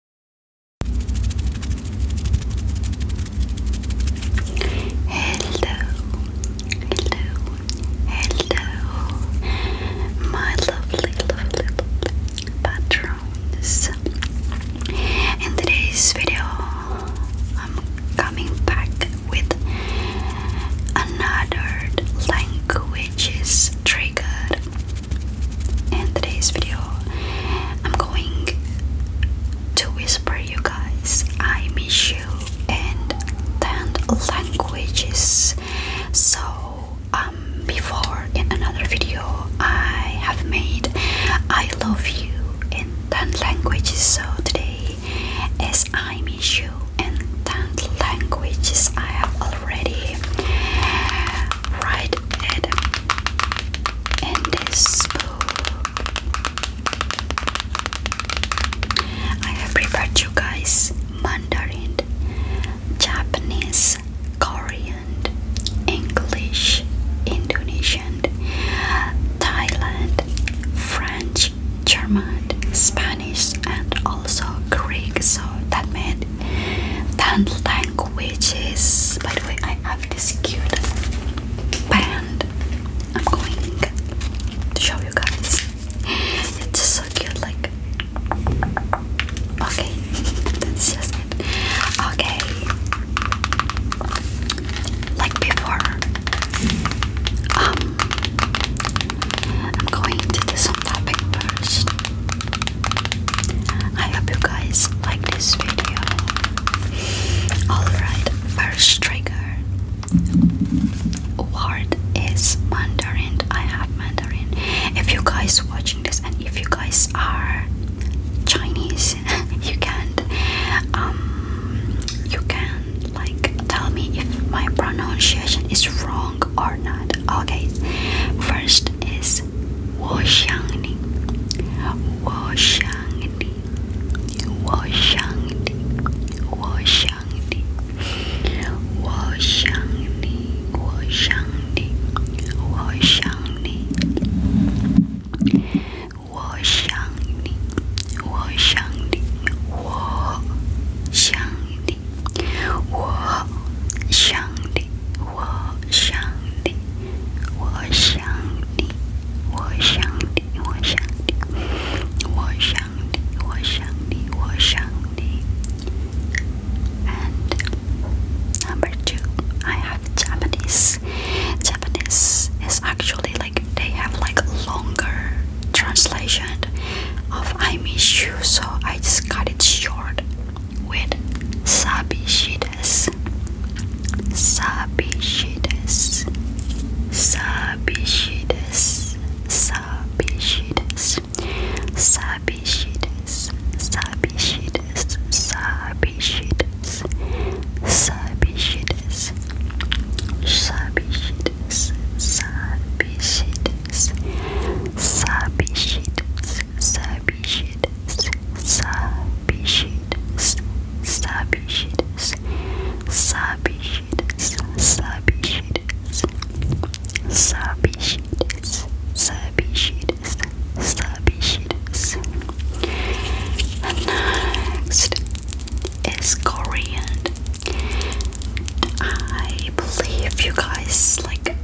hello, hello, my lovely, lovely, lovely patrons. In today's video, I'm coming back with another languages trigger in today's video I'm going to whisper you guys I miss you and then languages so um before in another video I have made I love you in 10 languages so today as I miss you and 10 languages I have already right it in this book. I have prepared you guys Mandarin, Japanese, Korean, English, Indonesian, Thailand, French, German, Spanish, and also Greek. So that meant Tantlang, which by the way, I have this cute band. I'm going to show you guys. It's so cute, like. Okay, that's just it. Okay, like before, um, I'm going to this some first. I hope you guys like this video. Alright, first trigger word is Mandarin. I have Mandarin. If you guys watching this and if you guys are Chinese, you can um you can like tell me if my pronunciation is wrong wrong or not. Okay, first is Wo Shangni, Wo Shangni, Wo Shangni, Wo Shangni, Wo Shangni, Wo Shangni, Wo Shangni, Wo Shangni, Wo Shangni, Wo Shangni. And number two, I have Japanese. Japanese is actually like they have like longer translation of I miss you, so I just cut it cut it short with sabishides. Sabishides. Sabishides. Sabishides. Sabishides. Sabishides. Sabishides. Sabishides. Sabishides. Sabishides. Sabes, sabichides, sabichides, sabichides, sabichides, sabichides, sabichides, sabichides, sabichides, sabichides. And next is Korean I believe you guys like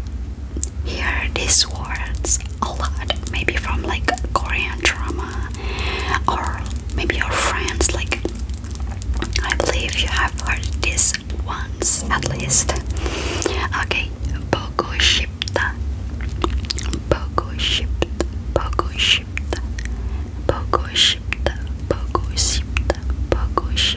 hear these words a lot, maybe from like Korean drama or maybe your friends. Like, I believe you have heard this once at least. Okay, 보고 싶다, 보고 싶다, 보고 싶다, 보고 싶다, 보고 싶다, 보고 싶다.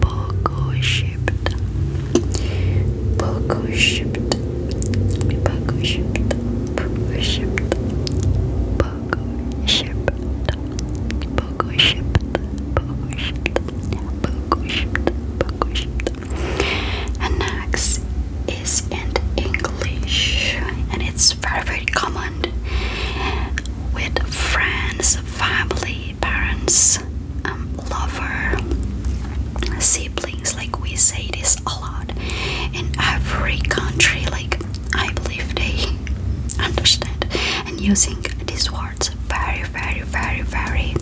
Poco shipped. Poco shipped. Poco shipped. Poco shipped. Poco shipped. Poco shipped. Poco shipped. Poco shipped. Poco shipped. And next is in English, and it's very very common with friends family, parents, um, lover, siblings. Like we say this a lot in every country. Like I believe they understand and using these words very, very, very, very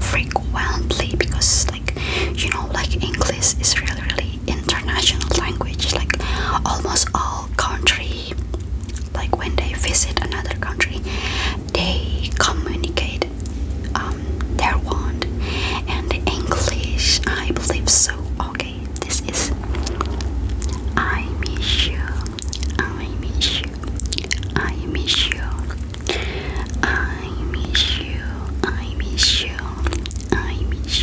frequently because, like you know, like English is really, really international language. Like almost all country like when they visit another country they communicate um, their want and English I believe so okay this is I miss you I miss you I miss you I miss you I miss you I miss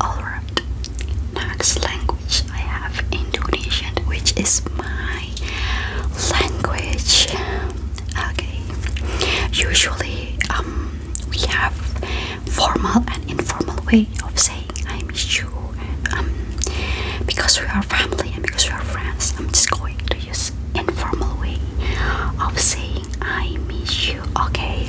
Alright, next language I have Indonesian, which is my language. Okay, usually um, we have formal and informal way of saying I miss you. Um, because we are family and because we are friends, I'm just going to use informal way of saying I miss you. Okay.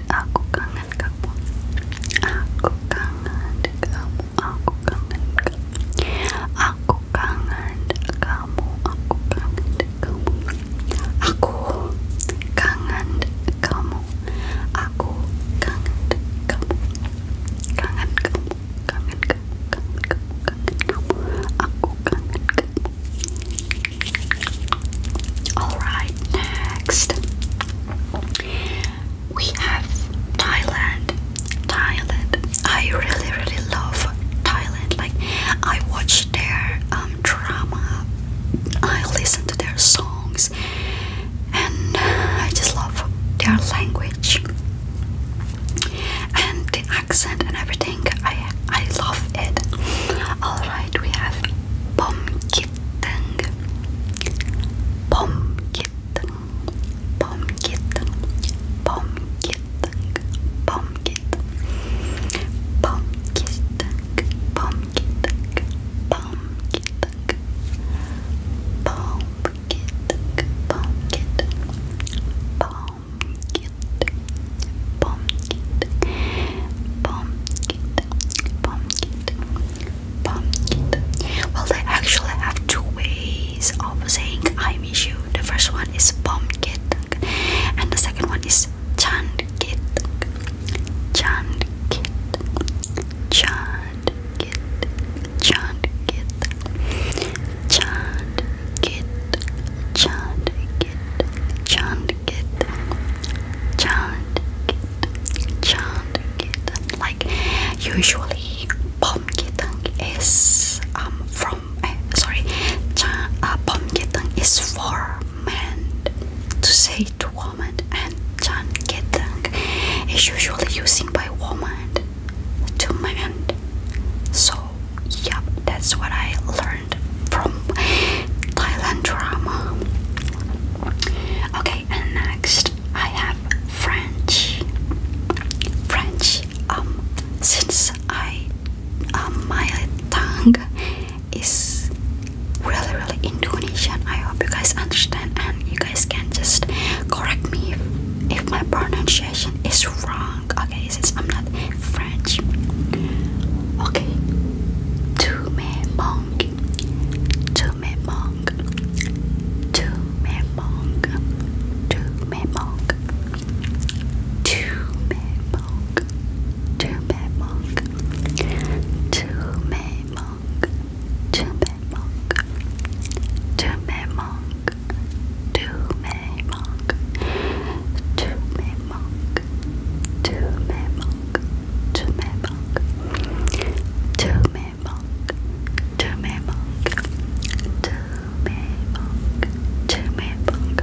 aku kangen kamu aku kangen kamu aku kangen kamu aku kangen kamu aku kangen kamu aku kangen kamu aku kangen kamu kangen kangen kamu aku kangen kamu Alright, next we have Thailand. Thailand. I really, really love Thailand. Like, I watch their um, drama, I listen to their songs, and I just love their language and the accent and everything. I I love it. Alright, we have Pomkitten. Pomkitten. Pomkitten. Pomkitten. Pomkitten. Pomkitten. Pomkitten. Pomkitten. Pomkitten. Pomkitten. Pomkitten pumpkin, pumpkin, pumpkin, pumpkin. Well, I actually have two ways of saying I miss you. The first one is pomkit, and the second one is chandkit, chandkit, chandkit, chandkit, chandkit, chandkit, chandkit kit, chant Like usually, pom kitang is um, from eh, sorry, chan, uh, pom is for men to say to woman, and chan kitang is usually using by woman to man. So yeah, that's what I learned from Thailand drama. Okay, and next I have French. French. Um, since I um, my tongue is really really Indonesian. I hope you guys understand and you guys can just correct me if, if my pronunciation is wrong. Okay, since I'm not French. Okay. Tu me manques. Tu me manques. Tu me manques. Tu me manques. Tu me manques. Tu me manques. Tu me manques. Tu me manques. Tu me me monk, to me monk, to me monk, to me monk, to me monk, to me monk, to me monk, to me monk, to me monk,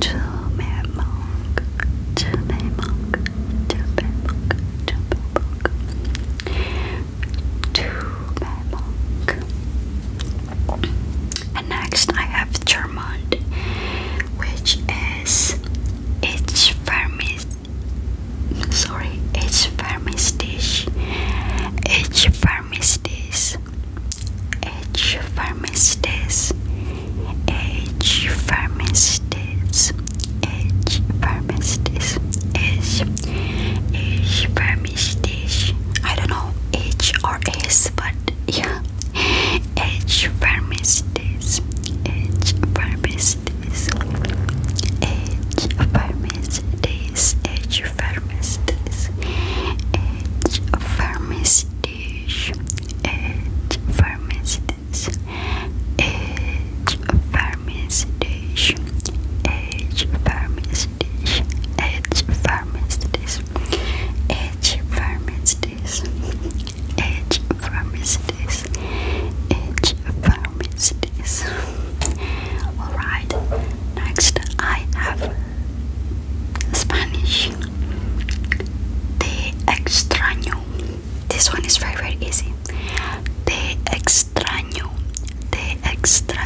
to me monk, to me monk, to me monk. To my monk, and next I have German, which is it's vermis sorry, it's vermistish. It's vermistis. It's vermistis. It's vermistis. It's vermistis. It's vermistis dish. I don't know H or S, but yeah. H Vermistis. H Vermistis. H Vermistis. H Vermistis. H Vermistis. H H Vermistis. H Edge pharmacies, edge pharmacies, edge pharmacies, edge pharmacies, edge pharmacies. Alright, next I have Spanish. Te extraño. This one is very, very easy. Te extraño. Te extraño.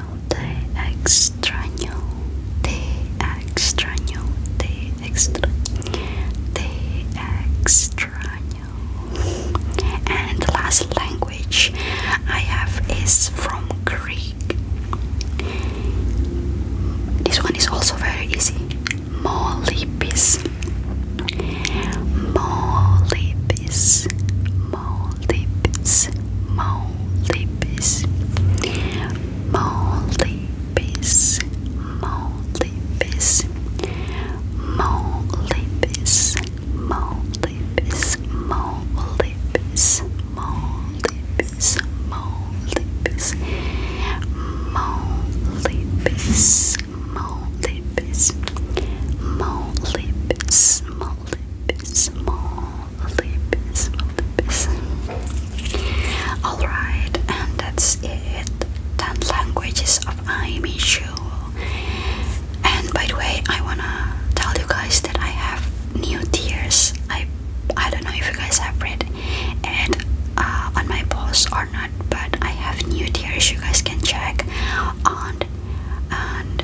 te extraño, te extraño, te extraño, te extraño. And the last language I have is from Greek. This one is also very easy. Molipis. Molipis. Molipis. Maldives, Maldives, Maldives, Maldives, Maldives, Maldives, Maldives, Maldives, Maldives, Maldives, Maldives, Maldives, Maldives, Lippismo, Lippismo, Lippismo. Alright, and that's it. 10 languages of Aimee Shu. And by the way, I wanna tell you guys that I have new tears. I I don't know if you guys have read and uh, on my post or not, but I have new tears. you guys can check on and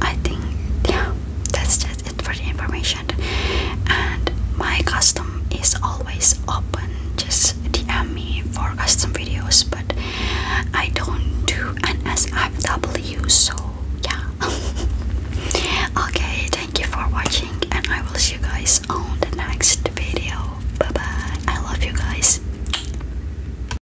I think yeah that's just it for the information and my custom is always open just DM me for custom videos but I don't do NSFW so yeah okay thank you for watching and I will see you guys on the next video bye bye I love you guys